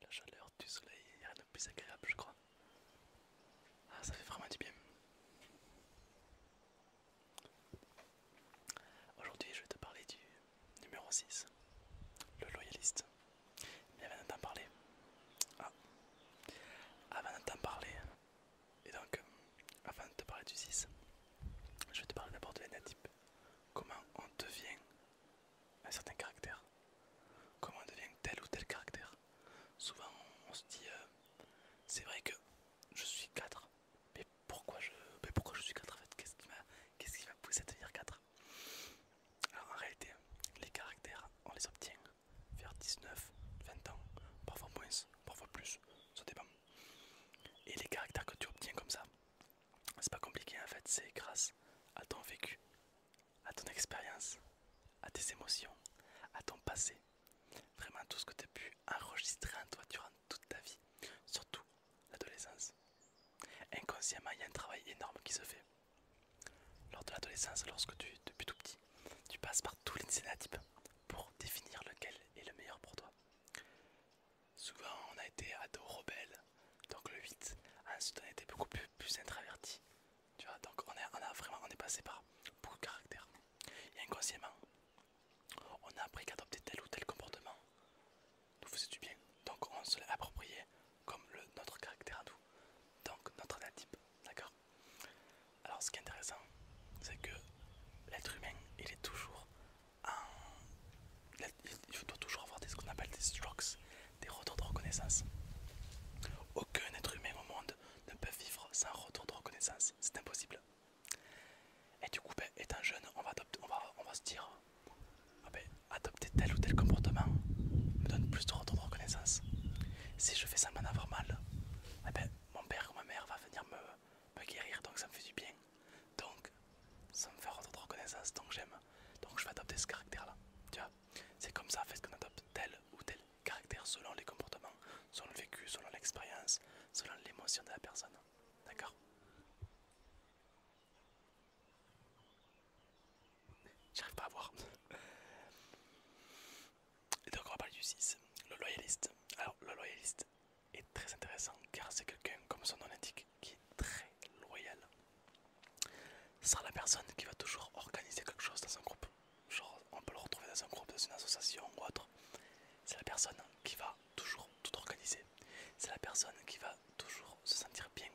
La chaleur du soleil, il n'y a rien de plus agréable je crois. Ah ça fait vraiment du bien. Aujourd'hui je vais te parler du numéro 6, le loyaliste. Mais avant d'en parler... Ah Avant d'en parler... Et donc, euh, avant de te parler du 6, je vais te parler d'abord de l'énatype comment on devient un certain caractère, comment on devient tel ou tel caractère. Souvent on, se dit, euh, c'est vrai que je suis 4, mais pourquoi je, mais pourquoi je suis 4 en fait Qu'est-ce qui m'a poussé à devenir 4 Alors en réalité, les caractères, on les obtient vers 19, 20 ans, parfois moins, parfois plus, ça dépend. Et les caractères que tu obtiens comme ça, c'est pas compliqué en fait, c'est grâce à ton vécu, à ton expérience, à tes émotions, à ton passé. Vraiment tout ce que tu as pu enregistrer en toi durant toute ta vie, surtout l'adolescence. Inconsciemment, il y a un travail énorme qui se fait. Lors de l'adolescence, lorsque tu, depuis tout petit, tu passes par tous les scénotypes pour définir lequel est le meilleur pour toi souvent on a été ado rebelles donc le 8, ensuite on a été beaucoup plus, plus tu vois, donc on, a, vraiment, on est passé par beaucoup de caractères, et inconsciemment, on a appris qu'adopter tel ou tel comportement nous faisait du bien, donc on se l'a approprié comme le, notre caractère à nous, donc notre natif, d'accord Alors ce qui est intéressant, c'est que l'être humain, il est toujours il faut toujours avoir des, ce qu'on appelle des strokes, des retours de reconnaissance. Aucun être humain au monde ne peut vivre sans retour de reconnaissance, c'est impossible. Et du coup, ben, étant jeune, on va, on, va, on va se dire, ah ben, adopter tel ou tel comportement me donne plus de retour de reconnaissance. Si je fais ça d'avoir mal, eh ben, mon père ou ma mère va venir me, me guérir donc ça me fait du bien donc ça me fait rendre reconnaissance donc j'aime donc je vais adopter ce caractère là tu vois c'est comme ça fait qu'on adopte tel ou tel caractère selon les comportements selon le vécu selon l'expérience selon l'émotion de la personne d'accord j'arrive pas à voir et donc on va parler du 6, le loyaliste. Alors le loyaliste est très intéressant car c'est quelqu'un, comme son nom l'indique, qui est très loyal. Ce sera la personne qui va toujours organiser quelque chose dans un groupe. Genre on peut le retrouver dans un groupe, dans une association ou autre. C'est la personne qui va toujours tout organiser. C'est la personne qui va toujours se sentir bien.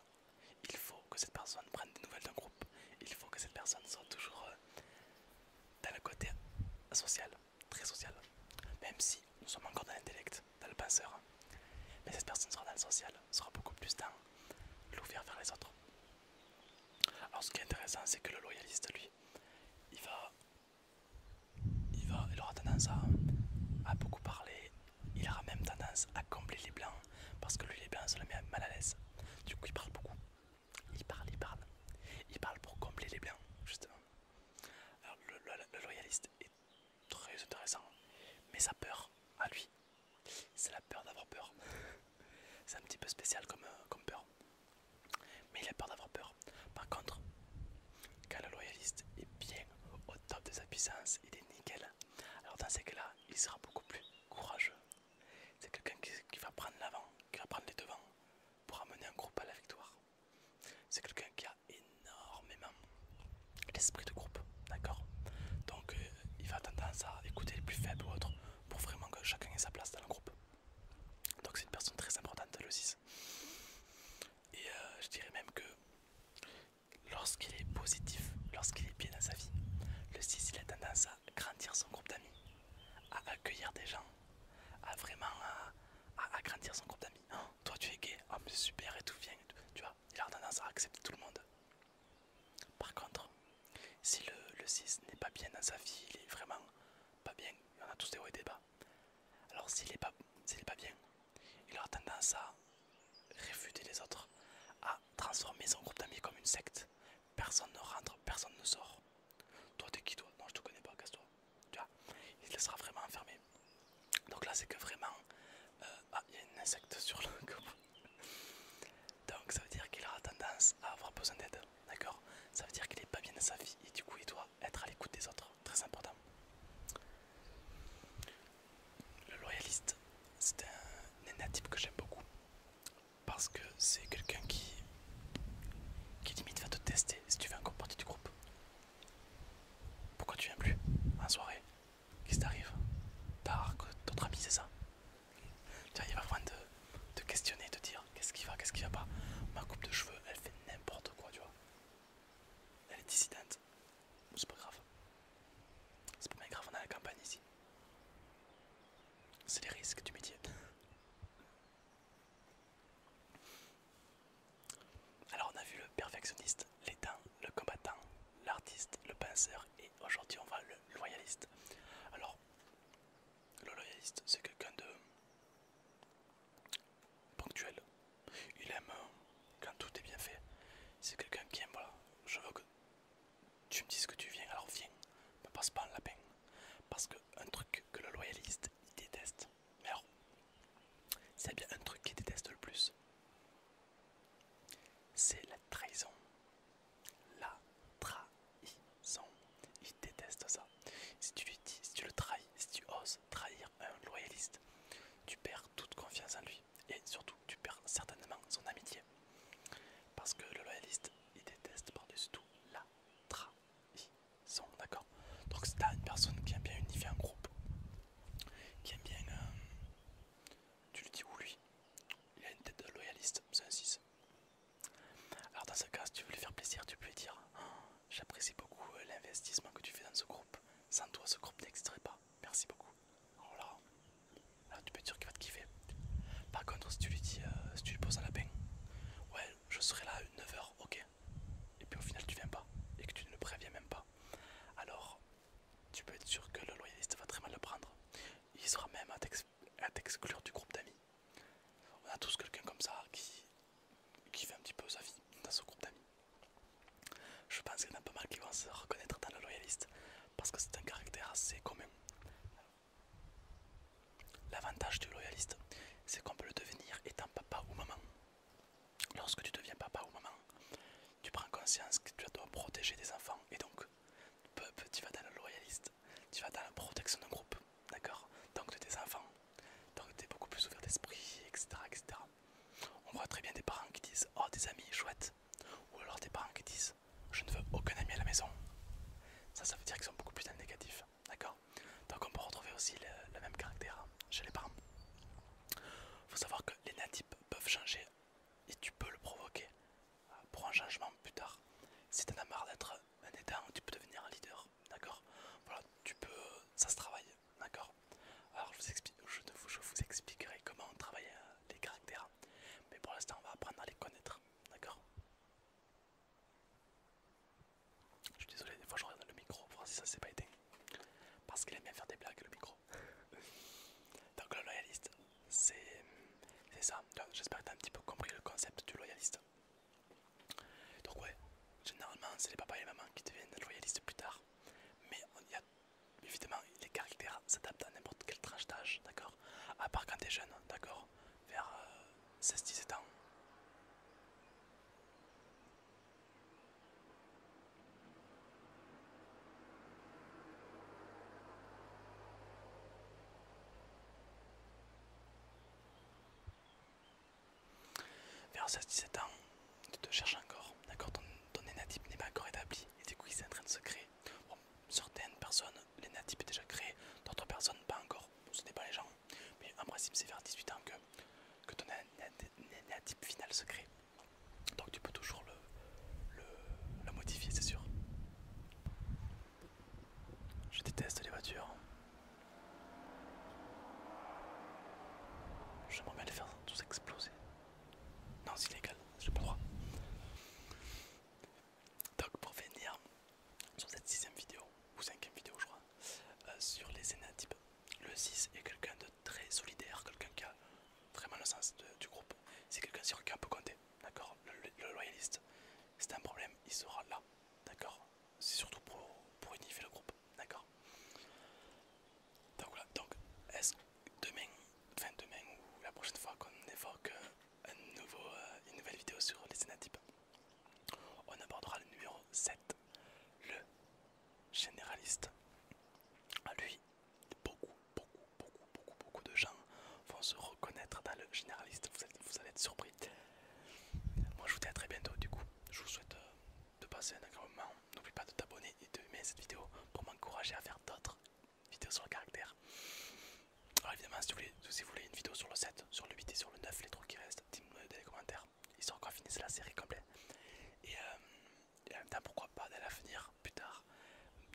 Il faut que cette personne prenne des nouvelles d'un groupe. Il faut que cette personne soit toujours euh, dans le côté social, très social. Même si nous sommes encore dans l'intellect, dans le penseur, hein. mais cette personne sera dans le social, sera beaucoup plus dans l'ouvert vers les autres. Alors ce qui est intéressant, c'est que le loyaliste, lui, il va, il aura tendance à, beaucoup parler, il aura même tendance à combler les blancs, parce que lui les blancs se le met mal à l'aise. Du coup il parle beaucoup, il parle, il parle. Il parle pour combler les blancs, justement. Alors, le, loyaliste est très intéressant, mais sa peur à lui, c'est la peur d'avoir peur. c'est un petit peu spécial comme, euh, comme peur. Mais il a peur d'avoir peur. Par contre, quand le loyaliste est bien au top de sa puissance, et des nickels, Alors dans ces cas-là, il sera beaucoup plus courageux c'est quelqu'un qui, va prendre l'avant, qui va prendre les devants pour amener un groupe à la victoire. C'est quelqu'un qui a énormément l'esprit de groupe, d'accord Donc euh, il va tendance à écouter les plus faibles ou autres pour vraiment que chacun ait sa place dans le groupe. Donc c'est une personne très importante, le 6. Et euh, je dirais même que lorsqu'il est positif, lorsqu'il est bien dans sa vie, le 6 il a tendance à grandir son groupe d'amis, à accueillir des gens, à vraiment à, grandir son groupe d'amis. Hein, toi tu es gay, oh super et tout, viens, tu vois, il a tendance à accepter tout le monde. Par contre, si le, cis n'est pas bien dans sa vie, il est vraiment pas bien, il y en a tous des hauts et des bas. Alors s'il est pas, pas bien, il aura tendance à réfuter les autres, transformer son groupe d'amis comme une secte. Personne ne rentre, personne ne sort. Toi, t'es qui toi Non, je te connais pas, casse-toi. Tu vois Il te laissera vraiment enfermé. Donc là, c'est que vraiment. Euh, ah, il y a une insecte sur le Donc ça veut dire qu'il aura tendance à avoir besoin d'aide. D'accord Ça veut dire qu'il est pas bien dans sa vie et du coup, il doit être à l'écoute des autres. Très important le loyaliste, c'est un nénatype que j'aime beaucoup parce que c'est quelqu'un qui, qui limite va te tester si tu fais encore partie du groupe. Pourquoi tu viens plus en soirée Qu'est-ce qui t'arrive que d'autres amis, c'est ça Tu il va besoin de, de questionner, de dire qu'est-ce qui va, qu'est-ce qui va pas. Ma coupe de cheveux, elle fait n'importe quoi, tu vois. Elle est dissidente, c'est pas grave. C'est pas grave, on a la campagne ici. C'est les risques du métier. Alors on a vu le perfectionniste, l'étain, le combattant, l'artiste, le penseur et aujourd'hui on voit le loyaliste. Alors le loyaliste c'est quelqu'un de ponctuel. Il aime euh, quand tout est bien fait, c'est quelqu'un qui aime, voilà, je veux que tu me dises que tu viens, alors viens, me passe pas la lapin. Parce que un truc que le loyaliste il déteste, mais alors, c'est bien un truc qu'il déteste le plus, c'est la trahison. La trahison. Il déteste ça. Si tu lui dis, si tu le trahis, si tu oses trahir un euh, loyaliste. Tu perds toute confiance en lui et surtout tu perds certainement son amitié. Parce que le loyaliste, il déteste par-dessus tout la trahison, d'accord Donc si t'as une personne qui aime bien unifier un groupe, qui aime bien... Euh, tu lui dis ou lui, il a une tête de loyaliste, c'est un 6. Alors dans ce cas, si tu veux lui faire plaisir, tu peux lui dire oh, J'apprécie beaucoup euh, l'investissement que tu fais dans ce groupe. Sans toi, ce groupe n'existerait pas merci beaucoup. Alors oh là, tu peux être sûr qu'il va te kiffer. Par contre, si tu lui dis, euh, si tu lui poses un lapin, ouais, je serai là à 9h, ok. Et puis au final, tu viens pas et que tu ne le préviens même pas. Alors, tu peux être sûr que le loyaliste va très mal le prendre. Il sera même à t'exclure du groupe d'amis. On a tous quelqu'un comme ça qui, qui fait un petit peu sa vie dans ce groupe d'amis. Je pense qu'il y en a pas mal qui vont se reconnaître dans le loyaliste parce que c'est un caractère assez commun. L'avantage du loyaliste, c'est qu'on peut le devenir étant papa ou maman. Lorsque tu deviens papa ou maman, tu prends conscience que tu dois protéger des enfants et donc tu vas dans le loyaliste, tu vas dans la protection d'un groupe, d'accord Donc de tes enfants, donc tu es beaucoup plus ouvert d'esprit, etc., etc. On voit très bien des parents qui disent Oh, des amis, chouette. Ou alors des parents qui disent Je ne veux aucun ami à la maison. Ça, ça veut dire qu'ils sont beaucoup plus négatifs D'accord Donc, on peut retrouver aussi le, même caractère chez les parents. Il faut savoir que les natifs peuvent changer et tu peux le provoquer euh, pour un changement plus tard. Si en as marre d'être un état, tu peux devenir un leader. D'accord Voilà, tu peux. Euh, ça se travaille. D'accord Alors je vous, expliquerai comment on travaille euh, les caractères. Mais pour l'instant, on va apprendre à les connaître. D'accord Je suis désolé, des fois je regarde le micro pour voir si ça s'est pas été. Parce qu'il aime bien faire des blagues, le micro. Donc le loyaliste, c'est ça. J'espère que tu as un petit peu compris le concept du loyaliste. Donc ouais, généralement c'est les papas et les mamans qui deviennent loyalistes plus tard. Mais y a, évidemment les caractères s'adaptent à n'importe quel tranche d'âge, d'accord À part quand t'es jeune, d'accord Vers 16-17 euh, ans. Vers 16-17 ans, tu te cherches encore, d'accord ton, ton n'est pas encore établi, et du coup il est en train de se créer. certaines personnes, l'énatype est déjà créé, d'autres personnes pas encore, ce n'est pas les gens, mais en principe c'est vers 18 ans que, que ton type final se crée. Donc tu peux toujours le modifier, c'est sûr. Je déteste les voitures. J'aimerais bien les faire tous exploser. Non, c'est illégal, j'ai pas le droit. Donc, pour finir sur cette sixième vidéo, ou cinquième vidéo, je crois, euh, sur les énatypes, le 6 est quelqu'un de très solidaire, quelqu'un qui a vraiment le sens du groupe. C'est quelqu'un sur qui on peut compter, d'accord le loyaliste, c'est un problème, il sera là. D'accord C'est surtout pour, unifier le groupe. D'accord Donc voilà. Donc, est-ce demain, enfin demain ou la prochaine fois qu'on évoque euh, euh, une nouvelle vidéo sur les scénatiques, on abordera le numéro 7, le généraliste. À lui, beaucoup, beaucoup, beaucoup, beaucoup, beaucoup de gens vont se reconnaître dans le généraliste, vous allez, être surpris. Moi je vous dis à très bientôt du coup, je vous souhaite euh, de passer un agréable moment, n'oublie pas de t'abonner et de aimer cette vidéo pour m'encourager à faire d'autres vidéos sur le caractère. Alors évidemment si vous, voulez, une vidéo sur le 7, sur le 8 et sur le 9, les trucs qui restent, dites-moi dans les commentaires, histoire encore finisse la série complète. Euh, et, en même temps pourquoi pas d'aller à l'avenir plus tard,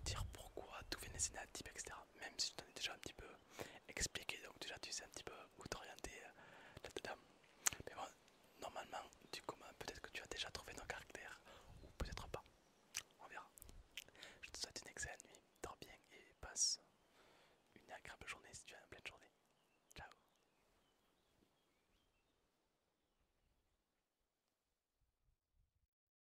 dire pourquoi, d'où viennent les type etc même si je t'en ai déjà un petit peu expliqué, donc déjà tu sais un petit peu où t'orienter euh, Mais bon, normalement, du commun, ben, peut-être que tu as déjà trouvé ton caractère, ou peut-être pas. On verra. Je te souhaite une excellente nuit, dors bien et passe une agréable journée si tu as une pleine journée. Ciao